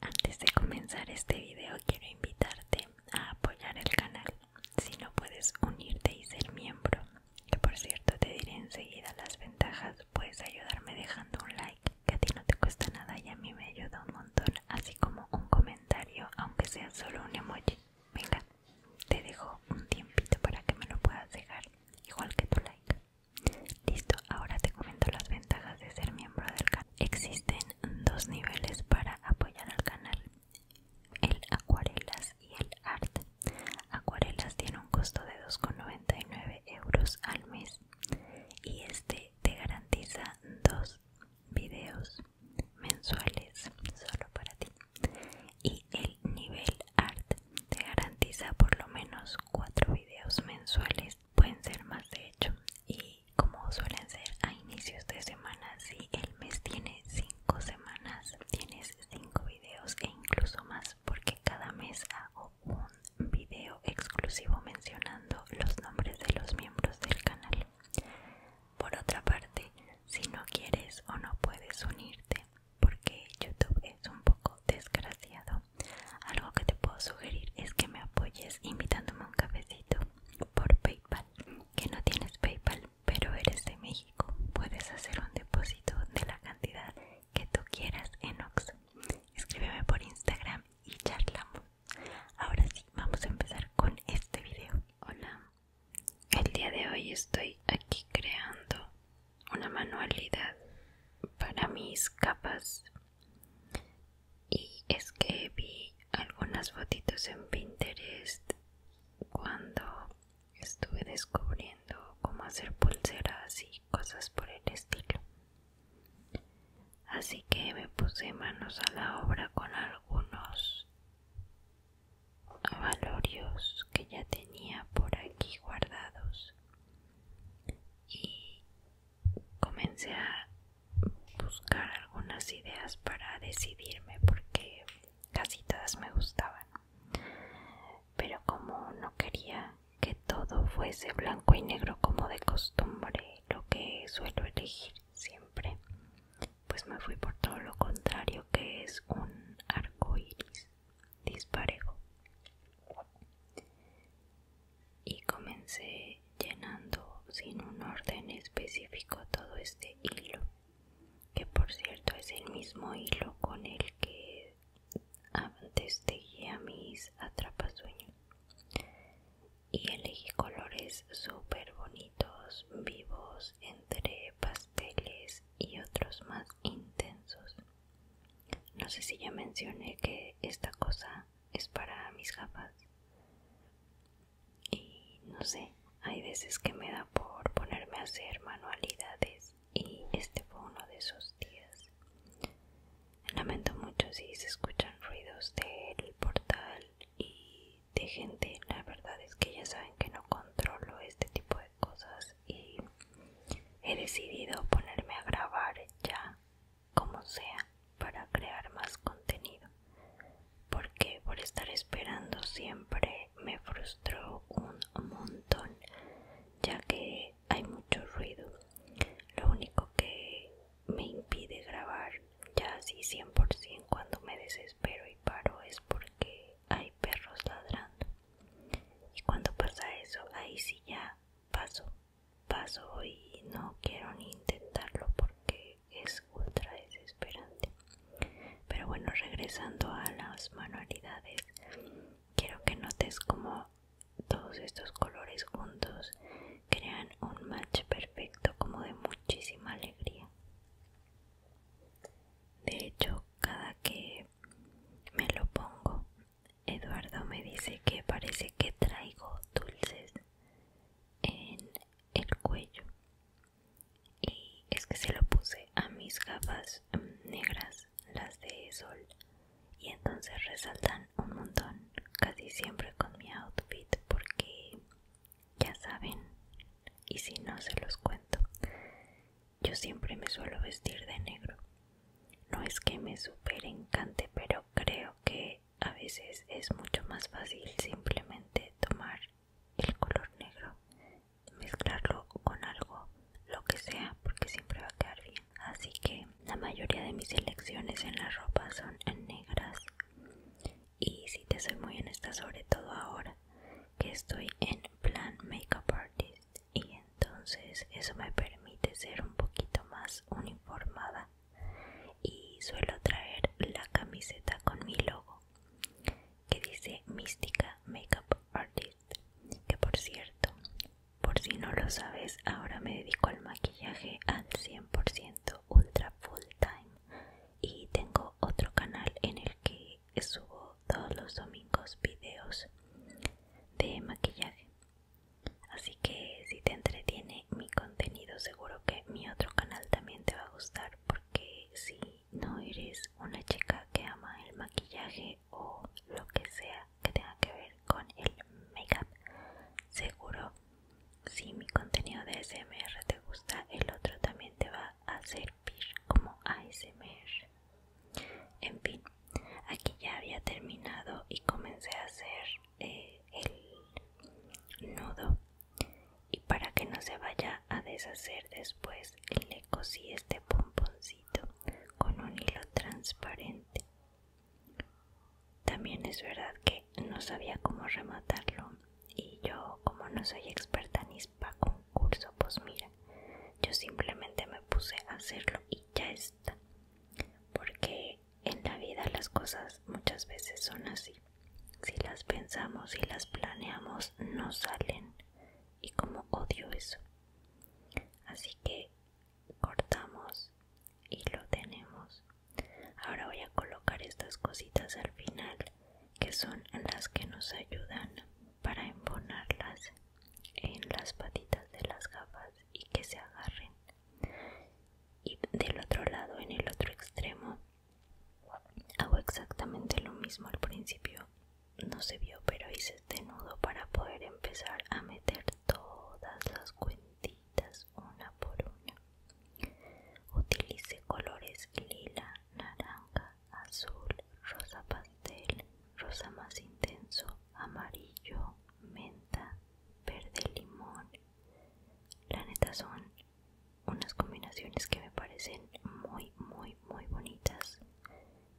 Antes de comenzar este video quiero invitarte a apoyar el canal si no puedes unirte y ser miembro que por cierto te diré enseguida las ventajas puedes ayudarme dejando un like que a ti no te cuesta nada y a mí me ayuda un montón así como un comentario aunque sea solo un emoji venga te dejo un tiempito para que me lo puedas dejar, igual que tu like. Listo, ahora te comento las ventajas de ser miembro del canal. Existen dos niveles para apoyar al canal, el acuarelas y el art. Acuarelas tiene un costo de 2,99 euros al mes y este te garantiza dos videos mensuales solo para ti y el nivel art te garantiza por lo menos 4 videos mensuales pueden ser más de hecho y como suelen ser a inicios de semana si el mes tiene 5 semanas tienes 5 videos e incluso más porque cada mes hago un video exclusivo mencionando los nombres de los miembros del canal por otra parte si no quieres o no puedes unirte porque YouTube es un poco desgraciado. Algo que te puedo sugerir es que me apoyes invitándome a un cafecito por PayPal. Que no tienes PayPal, pero eres de México, puedes hacer un depósito de la cantidad que tú quieras en Ox. Escríbeme por Instagram y charlamos. Ahora sí, vamos a empezar con este video. Hola, el día de hoy estoy aquí creando una manualidad para mis capas y es que vi algunas fotitos en Pinterest cuando estuve descubriendo cómo hacer pulseras y cosas por el estilo así que me puse manos a la obra con algunos valorios que ya tenía por aquí guardados y comencé a buscar algunas ideas para decidirme porque casi todas me gustaban pero como no quería que todo fuese blanco y negro como de costumbre lo que suelo elegir siempre pues me fui por todo lo contrario que es un arco iris disparejo y comencé llenando sin un orden específico todo este hilo que por cierto es el mismo hilo con el que antes a mis atrapasueños y elegí colores super bonitos vivos entre pasteles y otros más intensos. No sé si ya mencioné que esta cosa es para mis gafas. Y no sé, hay veces que me da por ponerme a hacer manualidades y este fue uno de esos días. Lamento mucho si se escuchan ruidos del portal y de gente la verdad es que ya saben que no controlo este tipo de cosas y he decidido ponerme a grabar ya como sea para crear más contenido porque por estar esperando siempre me frustró un montón ya que hay mucho ruido lo único que me impide grabar ya así 100% cuando me desespero y paro es porque hay perros ladrando. Y cuando pasa eso, ahí sí ya paso, paso y no quiero ni intentarlo porque es ultra desesperante. Pero bueno, regresando a las manualidades, quiero que notes como todos estos colores juntos crean un match perfecto como de muchísima alegría. De hecho, cada que me lo pongo, Eduardo me dice que parece que traigo dulces en el cuello. Y es que se lo puse a mis gafas mm, negras, las de sol, y entonces resaltan un montón, casi siempre con mi outfit, porque ya saben, y si no se los cuento, yo siempre me suelo vestir de negro. No es que me super encante, pero creo que a veces es mucho más fácil simplemente tomar el color negro, mezclarlo con algo, lo que sea, porque siempre va a quedar bien. Así que la mayoría de mis elecciones en la ropa son en negras y si te soy muy honesta, sobre todo ahora que estoy en plan makeup artist, y entonces eso me permite ser un poquito más uniformada. Y suelo traer la camiseta con mi logo que dice Mística Makeup Artist, que por cierto, por si no lo sabes, ahora me dedico al maquillaje al 100% ultra full time y tengo otro canal en el que subo todos los domingos videos de maquillaje así que si te entretiene mi contenido seguro que mi otro canal también te va a gustar porque si no eres una chica que ama el maquillaje o lo que sea que tenga que ver con el make up seguro si mi contenido de SMR te gusta, el otro también te va a servir como ASMR. En fin, aquí ya había terminado y comencé a hacer eh, el nudo. Y para que no se vaya a deshacer después, le cosí este pomponcito con un hilo transparente. También es verdad que no sabía cómo rematarlo y yo, como no soy experta ni para concurso, pues mira, yo simplemente me puse a hacerlo y ya está. Porque en la vida las cosas muchas veces son así. Si las pensamos y las planeamos, no salen. Y como odio eso. Así que cortamos y lo tenemos. Ahora voy a colocar estas cositas al final que son las que nos ayudan para emponarlas en las patitas de las gafas y que se agarren. Y del otro lado, en el otro extremo, hago exactamente lo mismo al principio. No se vio, pero hice este nudo para poder empezar a meter todas las cuentas una por una. Utilice colores lila, naranja, azul, rosa pastel, rosa más intenso, amarillo, menta, verde limón. La neta son unas combinaciones que me parecen muy, muy, muy bonitas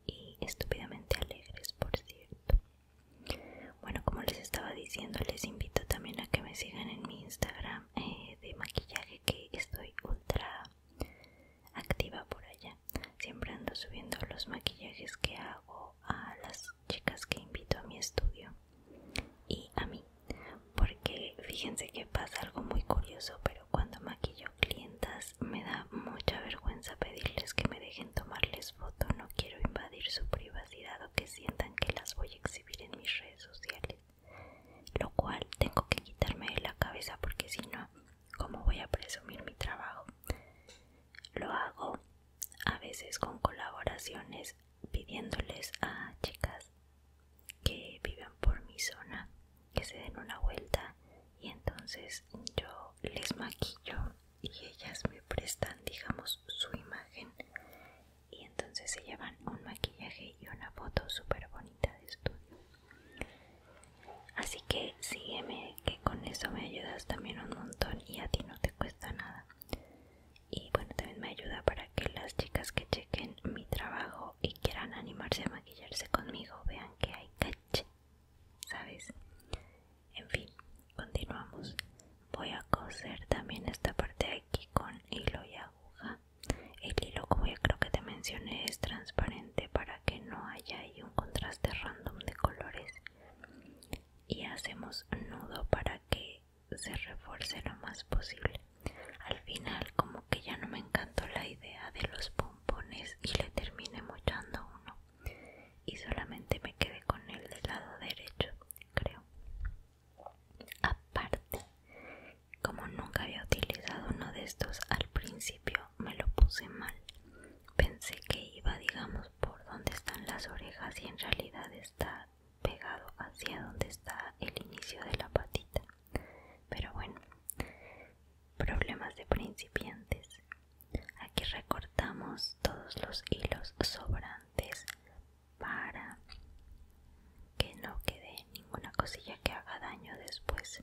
y estúpidamente alegres, por cierto. Bueno, como les estaba diciendo, les invito también a que me sigan en mi Instagram eh, de maquillaje que estoy ultra activa por allá. Siempre ando subiendo los maquillajes que hago a las chicas que invito a mi estudio y a mí. Porque fíjense que pasa algo muy curioso, pero cuando maquillo clientas me da mucha vergüenza pedirles que me dejen tomarles foto. No quiero invadir su privacidad o que sientan que las voy a en mis redes sociales, lo cual tengo que quitarme de la cabeza porque si no, ¿cómo voy a presumir mi trabajo? Lo hago a veces con colaboraciones pidiéndoles a chicas que viven por mi zona que se den una vuelta y entonces yo les maquillo y ellas me prestan digamos su imagen y entonces se llevan un maquillaje y una foto súper bonita de estudio. Así que sígueme, que con eso me ayudas también un montón y a ti no te cuesta nada. Y bueno, también me ayuda para que las chicas que chequen mi trabajo y quieran animarse a maquillarse conmigo vean que hay caché, ¿sabes? En fin, continuamos voy a coser también esta parte de aquí con hilo y aguja el hilo como ya creo que te mencioné es transparente para que no haya ahí un contraste random de colores y hacemos nudo para que se refuerce lo más posible al final como que ya no me encantó la idea de los pompones y le terminé mochando uno y solamente me quedé con el del lado derecho creo Aparte, como nunca había utilizado uno de estos al principio, me lo puse mal. Pensé que iba, digamos, por donde están las orejas y en realidad está pegado hacia donde está el inicio de la patita. Pero bueno, problemas de principiantes. Aquí recortamos todos los hilos sobrantes para que no quede ninguna cosilla que haga daño después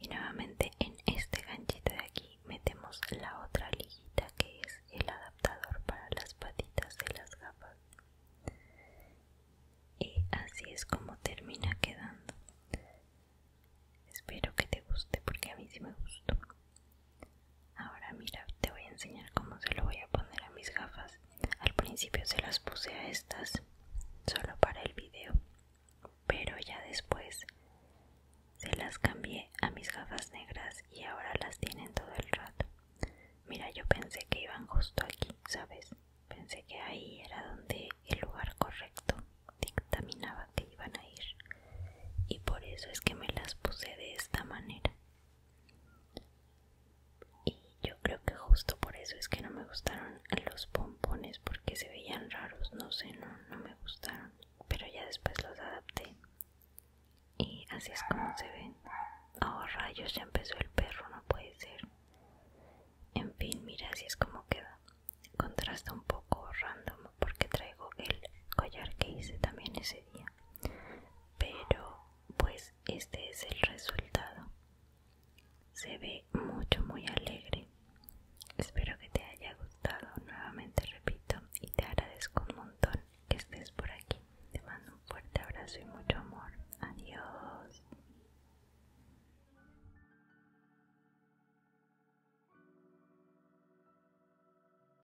y nuevamente en este ganchito de aquí metemos la otra liguita que es el adaptador para las patitas de las gafas y así es como termina quedando espero que te guste porque a mí sí me gustó Ahora mira, te voy a enseñar cómo se lo voy a poner a mis gafas. Al principio se las puse a estas, solo para el video, pero ya después se las cambié a mis gafas negras y ahora las tienen todo el rato. Mira, yo pensé que iban justo aquí, ¿sabes? Pensé que ahí era donde el lugar correcto dictaminaba que iban a ir. Y por eso es que me las puse de esta manera. Y yo creo que justo por eso es que no me gustaron los pompones porque se veían raros, no sé, no, no me gustaron. Pero ya después los adapté. Y así es como se ven. Oh rayos, ya empezó el perro, no puede ser. En fin, mira, así es como queda. Contrasta un poco random porque traigo el collar que hice también ese día pero pues este es el resultado se ve mucho muy alegre espero que te haya gustado nuevamente repito y te agradezco un montón que estés por aquí te mando un fuerte abrazo y mucho amor adiós